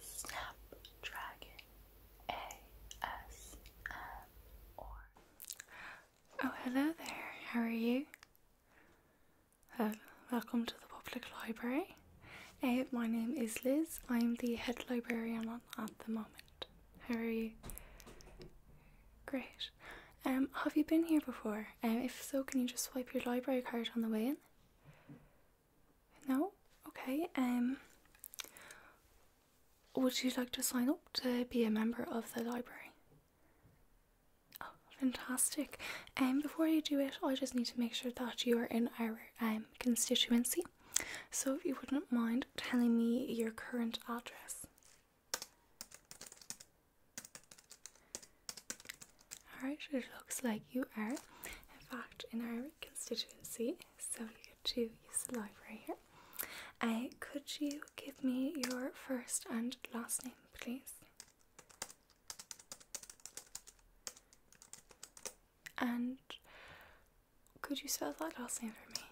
Snapdragon ASMR. Oh, hello there. How are you? Uh, welcome to the public library. Uh, my name is Liz. I'm the head librarian at the moment. How are you? Great. Um, have you been here before? Uh, if so, can you just swipe your library card on the way in? No? Okay. Um, would you like to sign up to be a member of the library? Oh, fantastic. And um, before you do it I just need to make sure that you are in our um constituency. So if you wouldn't mind telling me your current address. Alright, it looks like you are in fact in our constituency, so you get to use the library here. Uh, could you give me your first and last name, please? And could you spell that last name for me?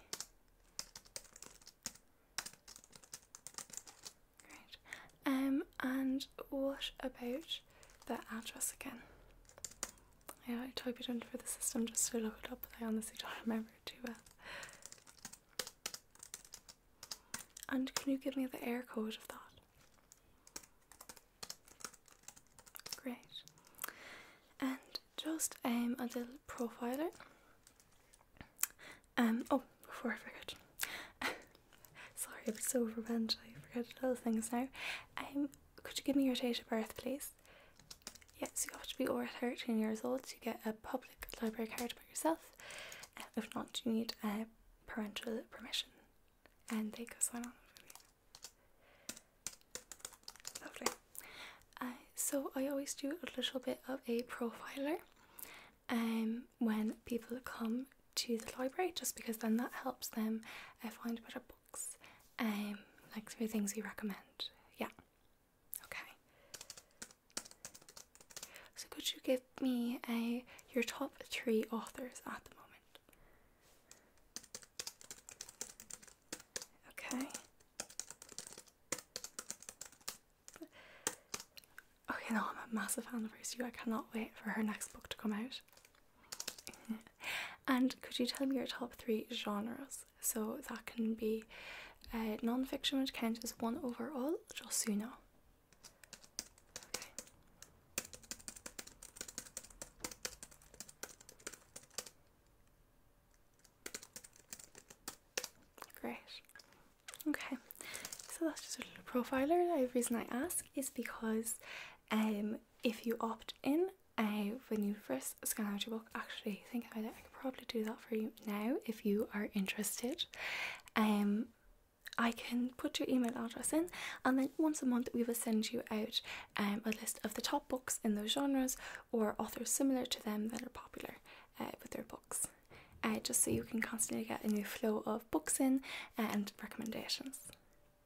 Great. Um, and what about the address again? Yeah, I type it in for the system just to look it up, but I honestly don't remember it too well. And can you give me the air code of that? Great. And just um, a little profiler. Um, oh, before I forget. Sorry, I'm so overwhelmed. I forget little things now. Um, could you give me your date of birth, please? Yes, you have to be over 13 years old to get a public library card by yourself. Uh, if not, you need a uh, parental permission. And they go sign on Lovely. Uh, so I always do a little bit of a profiler um, when people come to the library just because then that helps them uh, find better books, um, like through things we recommend. Yeah, okay. So, could you give me uh, your top three authors at the moment? Okay. you know I'm a massive fan of hers. I cannot wait for her next book to come out and could you tell me your top three genres? So that can be uh, non fiction, which counts as one overall, just so you know. Great. Okay, so that's just a little profiler. The reason I ask is because um, if you opt in uh, when you first scan out your book, actually think about it, I could probably do that for you now if you are interested. Um, I can put your email address in, and then once a month we will send you out um, a list of the top books in those genres or authors similar to them that are popular uh, with their books. Uh, just so you can constantly get a new flow of books in uh, and recommendations.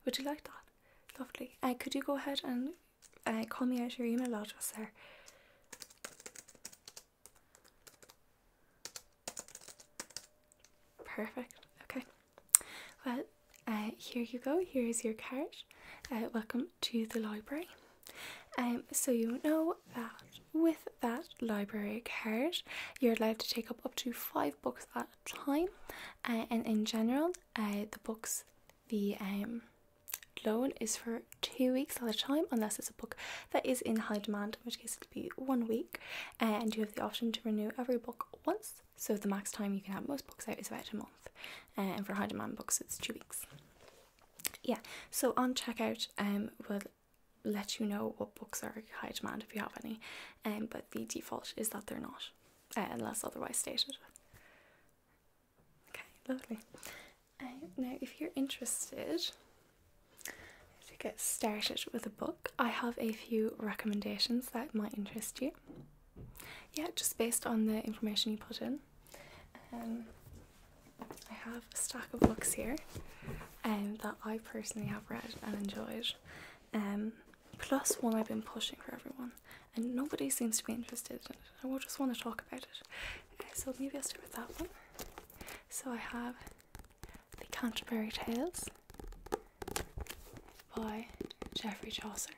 Would you like that? Lovely. Uh, could you go ahead and uh, call me out your email address sir? Perfect. Okay. Well, uh, here you go. Here is your card. welcome to the library. Um, so you know that with that library card, you're allowed to take up up to five books at time uh, and in general uh, the books the um, loan is for two weeks at a time unless it's a book that is in high demand in which case it'll be one week uh, and you have the option to renew every book once so the max time you can have most books out is about a month and for high demand books it's two weeks yeah so on checkout um, we'll let you know what books are high demand if you have any um, but the default is that they're not, uh, unless otherwise stated. Okay, lovely. Uh, now, if you're interested to get started with a book, I have a few recommendations that might interest you. Yeah, just based on the information you put in. Um, I have a stack of books here um, that I personally have read and enjoyed. Um, one I've been pushing for everyone, and nobody seems to be interested in it. I will just want to talk about it. Uh, so maybe I'll start with that one. So I have The Canterbury Tales by Geoffrey Chaucer.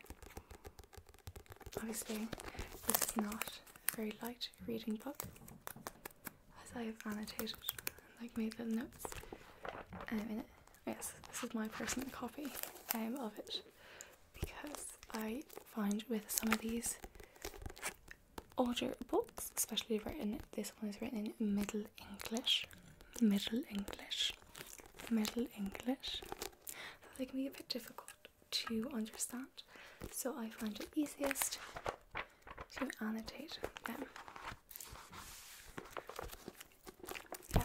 Obviously, this is not a very light reading book, as I have annotated and like made little notes um, in it. Yes, this is my personal copy um, of it because I find with some of these older books, especially written, this one is written in Middle English, Middle English, Middle English, they can be a bit difficult to understand. So I find it easiest to annotate them. Yeah,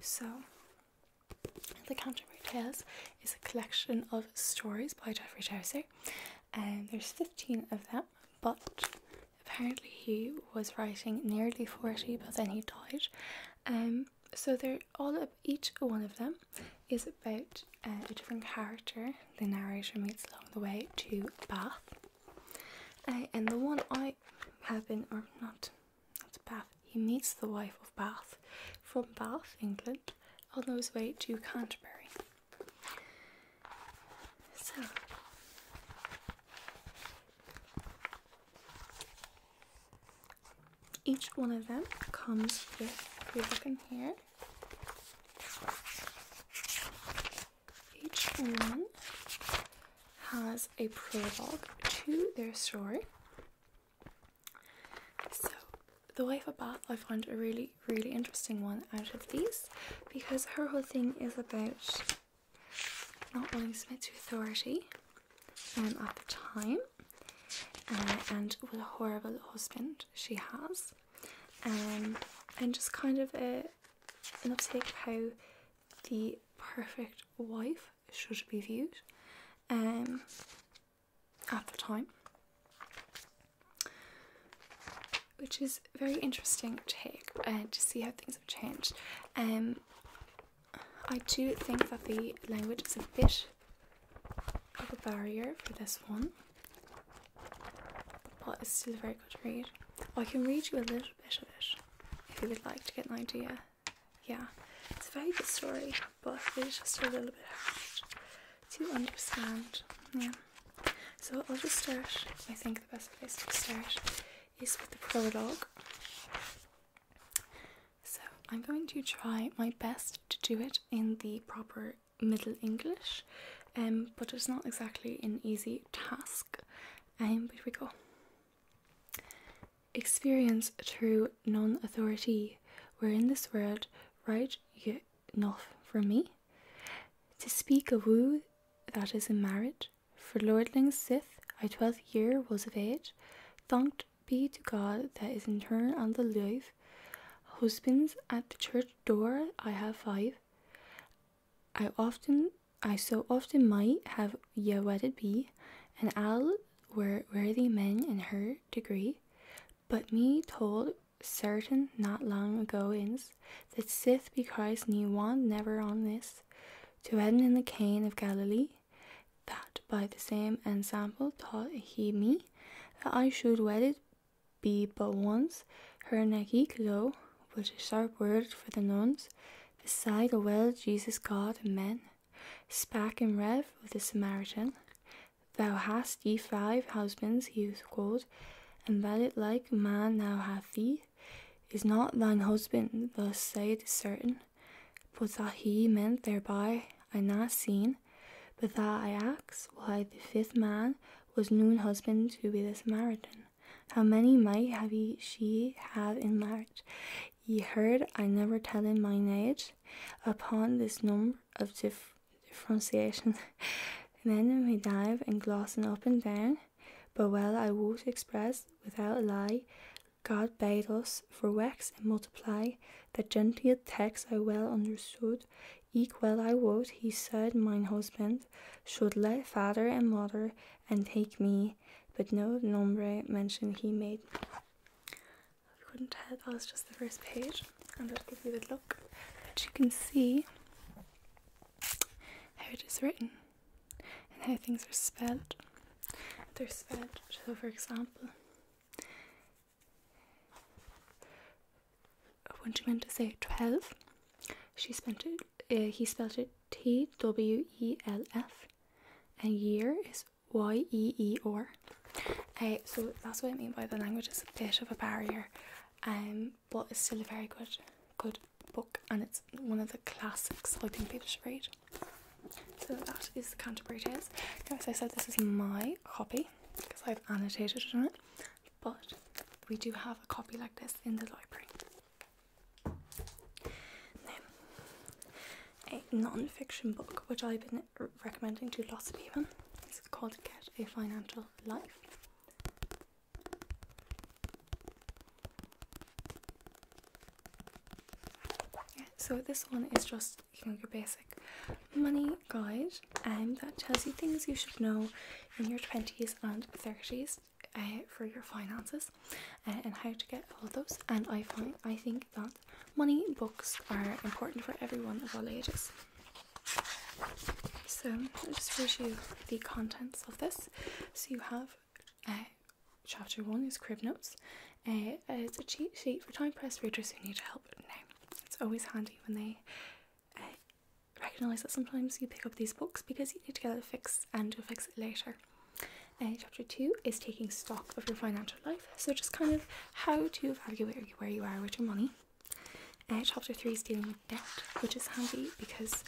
so The Canterbury Tales is a collection of stories by Geoffrey Chaucer, and there's 15 of them, but apparently he was writing nearly 40, but then he died. Um, so they're all up, each one of them is about uh, a different character the narrator meets along the way to Bath and the one I have in, or not, not Bath, he meets the wife of Bath from Bath, England, on his way to Canterbury. So, each one of them comes with, if look in here, each one has a prologue to their story. So, the wife of Bath, I found a really, really interesting one out of these because her whole thing is about not wanting to submit to authority um, at the time uh, and what a horrible husband she has. Um, and just kind of a, an uptake of how the perfect wife should be viewed um, at the time, which is very interesting take uh, to see how things have changed. Um, I do think that the language is a bit of a barrier for this one, but it's still very good to read. I can read you a little little bit of it if you would like to get an idea. Yeah, it's a very good story, but it's just a little bit hard to understand. Yeah. So I'll just start. I think the best place to start is with the prologue. So I'm going to try my best to do it in the proper Middle English, um, but it's not exactly an easy task and here we go experience through non-authority where in this world right ye enough for me to speak a woo that is in marriage for lordling's sith i twelfth year was of age thanked be to god that is in turn on the life husbands at the church door i have five I often, I so often might have ye wedded be, and i were worthy men in her degree, but me told certain not long ago is that sith be because ne one never on this to heaven in the cane of Galilee, that by the same ensample taught he me that I should wedded be but once her neck low was a sharp word for the nuns, beside a well Jesus God and men, spak in rev of the Samaritan. Thou hast ye five husbands, he was called, and that it like man now hath thee, is not thine husband, thus saith certain, but that he meant thereby, I na seen, but that I ax why the fifth man was noon husband to be the Samaritan. How many might have he, she have in marriage? Ye heard I never tell in mine age. Upon this number of dif differentiation, men we dive and glossen up and down, but well I wot express without a lie. God bade us for wax and multiply, The gentile text I well understood. Eke well I wot he said, mine husband, should let father and mother and take me, but no nombre mention he made. I couldn't tell, that was just the first page. and will gives you the look. But you can see how it is written and how things are spelled. They're spelled, so for example, when she meant to say 12, she spent it, uh, he spelled it T W E L F, and year is Y E E R. Uh, so that's what I mean by the language is a bit of a barrier, um, but it's still a very good, good book, and it's one of the classics I think people should read. So that is the Canterbury Tales. as I said, this is my copy because I've annotated it on it but we do have a copy like this in the library. Then, a non fiction book which I've been recommending to lots of people is called Get a Financial Life. so this one is just you know your basic money guide and that tells you things you should know in your 20s and 30s uh, for your finances uh, and how to get all those. And I find I think that money books are important for everyone of all ages. So I'll just read you the contents of this. So you have uh, chapter one is crib notes. Uh, it's a cheat sheet for time pressed readers who need help now. It's always handy when they uh, recognize that sometimes you pick up these books because you need to get it fixed and to fix it later. Uh, chapter two is taking stock of your financial life, so just kind of how do you evaluate where you are with your money. Uh, chapter three is dealing with debt, which is handy because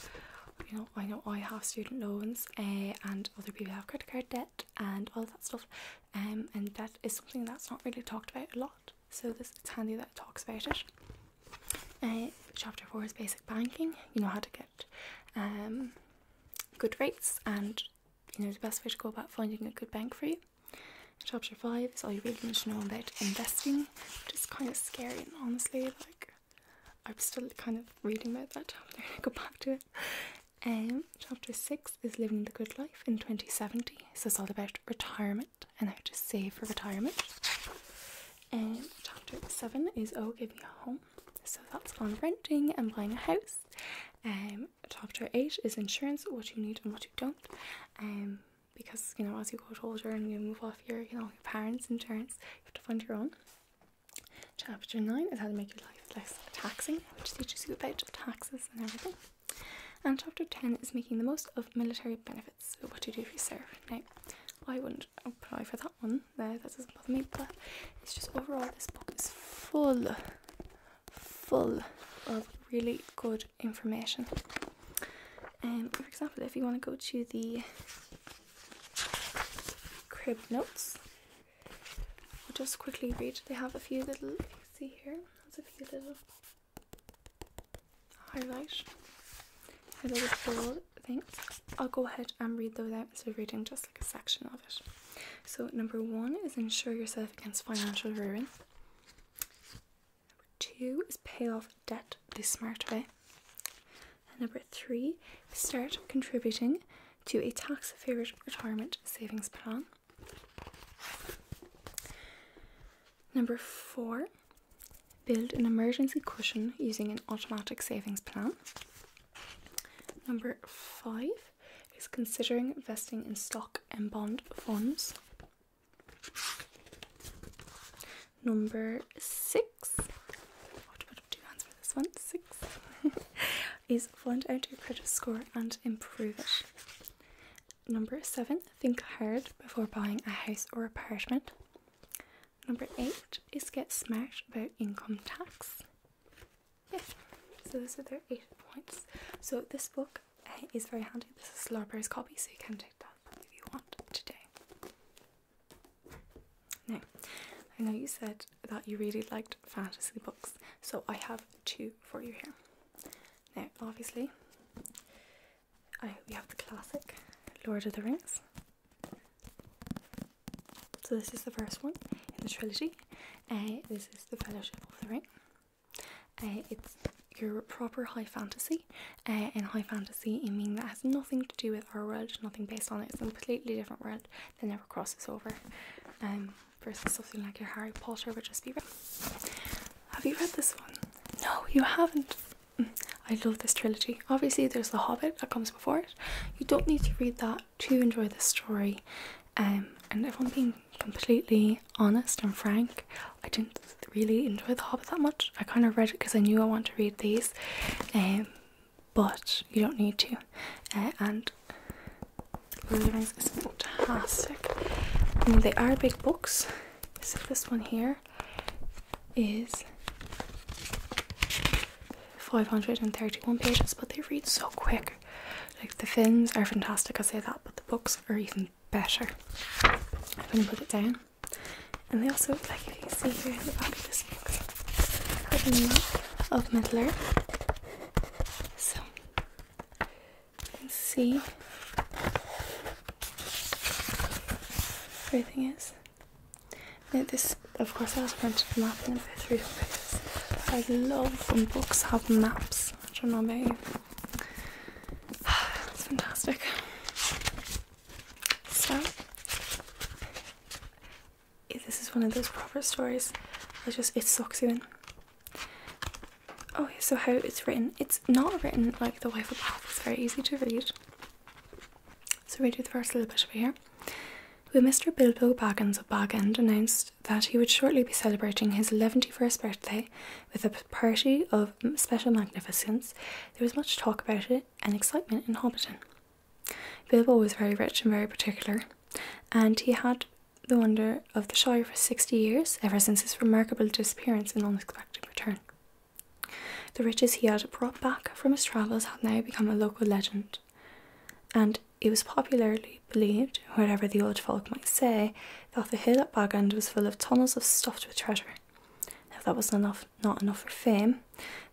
you know I know I have student loans uh, and other people have credit card debt and all that stuff, um, and debt is something that's not really talked about a lot. So this it's handy that talks about it. Uh, chapter four is basic banking. You know how to get um, good rates and you know the best way to go about finding a good bank for you. Chapter five is all you really need to know about investing, which is kind of scary and honestly like I'm still kind of reading about that. I'm going to go back to it. Um, chapter six is living the good life in 2070. So it's all about retirement and I have to save for retirement. And chapter seven is Oh, Give Me a Home. So that's on renting and buying a house. And um, chapter eight is insurance, what you need and what you don't. Um, because you know, as you get older and you move off your, you know, parents' insurance, you have to find your own. Chapter nine is how to make your life less taxing, which teaches you about taxes and everything. And chapter ten is making the most of military benefits. So, What do you do if you serve? No, I wouldn't apply for that one. No, that doesn't bother me. But it's just overall, this book is full, full of really good information. And um, for example, if you want to go to the crib notes, I'll just quickly read. They have a few little. see here, that's a few little highlight. Highlight is bold. Thanks. I'll go ahead and read those out instead of reading just like a section of it. So number one is insure yourself against financial ruin. Number two is pay off debt this smart way. number three, start contributing to a tax-favored retirement savings plan. Number four, build an emergency cushion using an automatic savings plan. Number five is considering investing in stock and bond funds. Number six, I have to put for this one, six, is find out your credit score and improve it. Number seven, think hard before buying a house or apartment. Number eight is get smart about income tax. Yeah, so those are their eight points. So this book eh, is very handy. This is Larber's copy, so you can take that if you want today. Now, I know you said that you really liked fantasy books, so I have two for you here. Now, obviously, I hope you have the classic Lord of the Rings. So this is the first one in the trilogy. Uh, this is the Fellowship of the Ring. Uh, it's your proper high fantasy. Uh, in high fantasy, I mean that has nothing to do with our world, nothing based on it. It's a completely different world that never crosses over. Um, versus something like your Harry Potter would just be Have you read this one? No, you haven't. I love this trilogy. Obviously, there's The Hobbit that comes before it. You don't need to read that to enjoy the story. Um, and if I'm being completely honest and frank, I didn't really enjoy The Hobbit that much. I kind of read it because I knew I wanted to read these, um, but you don't need to. Uh, and Lord of fantastic. they are big books. So this one here is 531 pages, but they read so quick. Like the fins are fantastic, I say that, but the books are even better. I'm gonna put it down. And they also, like you can see here in the back of this book, of Middle So and see everything is. this, of course, I was printed a map in about three pages. I love when books have maps. I don't know about you. fantastic. So, this is one of those proper stories. It just it sucks you in. Oh, so how it's written. It's not written like the way for Bath, it's very easy to read. So we do the first little bit over here. When Mr. Bilbo Baggins of Bagend announced that he would shortly be celebrating his 111st birthday with a party of special magnificence, there was much talk about it and excitement in Hobbiton. Bilbo was very rich and very particular, and he had the wonder of the Shire for 60 years, ever since his remarkable disappearance and unexpected return the riches he had brought back from his travels had now become a local legend, and it was popularly believed, whatever the old folk might say, that the hill at Bagand was full of tunnels of stuffed with treasure. If that was enough, not enough for fame,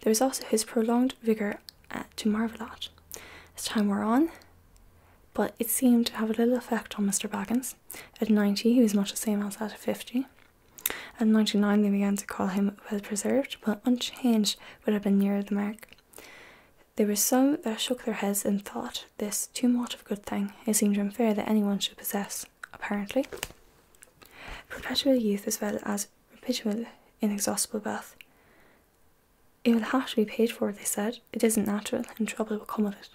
there was also his prolonged vigour uh, to marvel at. As time wore on, but it seemed to have little effect on Mr. Baggins. At 90, he was much the same as at 50. At 99, they began to call him well preserved, but unchanged would have been nearer the mark. There were some that shook their heads and thought this too much of a good thing. It seemed unfair that anyone should possess, apparently, perpetual youth as well as perpetual inexhaustible wealth. It will have to be paid for, they said. It isn't natural, and trouble will come of it.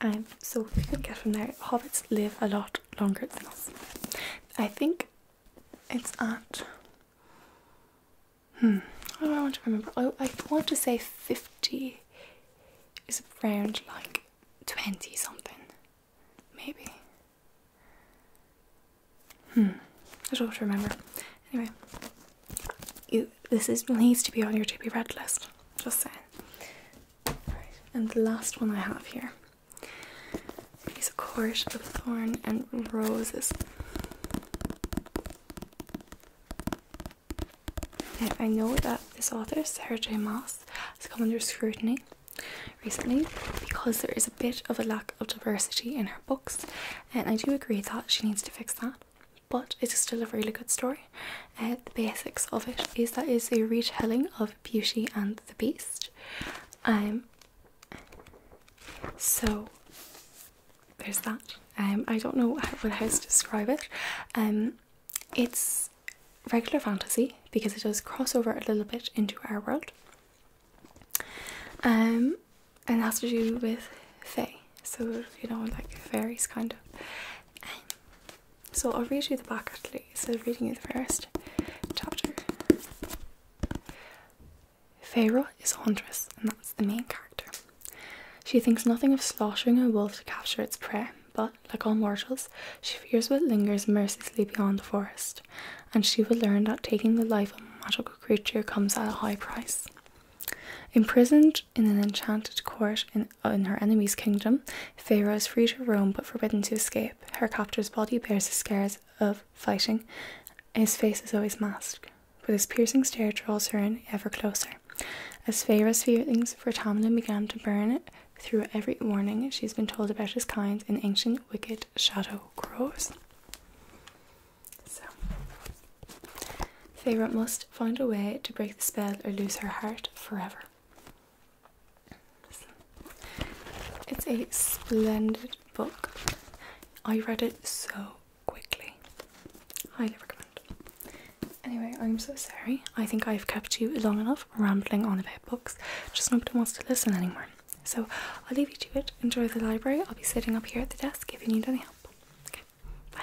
Um, so we can get from there. Hobbits live a lot longer than us. I think it's at. Hmm. I want to remember? I, oh, I want to say fifty is around like twenty something, maybe. Hmm. I don't remember. Anyway, this is needs to be on your to be read list. Just saying. And the last one I have here is a court of thorn and roses. I know that this author, Sarah J. Moss, has come under scrutiny recently because there is a bit of a lack of diversity in her books, and I do agree that she needs to fix that but it is still a really good story. Uh, the basics of it is that it's a retelling of Beauty and the Beast. Um, so there's that. Um, I don't know how, how to describe it. Um, it's regular fantasy because it does cross over a little bit into our world. and has to do with fae, so you know, like fairies kind of. Um, so I'll read you the back actually, i of reading you the first chapter. Pharaoh is a huntress, and that's the main character. She thinks nothing of slaughtering a wolf to capture its prey, but, like all mortals, she fears what lingers mercilessly beyond the forest, and she will learn that taking the life of a magical creature comes at a high price. Imprisoned in an enchanted court uh, in, her enemy's kingdom. Pharaoh is free to roam but forbidden to escape. Her captor's body bears the scars of fighting. His face is always masked, but his piercing stare draws her in ever closer. As Pharaoh's feelings for Tamlin began to burn through every warning she's been told about his kind in ancient wicked shadow grows. Favorite must find a way to break the spell or lose her heart forever. it's a splendid book. I read it so quickly. Highly recommend. Anyway, I'm so sorry. I think I've kept you long enough rambling on about books. Just nobody wants to listen anymore. So I'll leave you to it. Enjoy the library. I'll be sitting up here at the desk if you need any help. Okay, bye.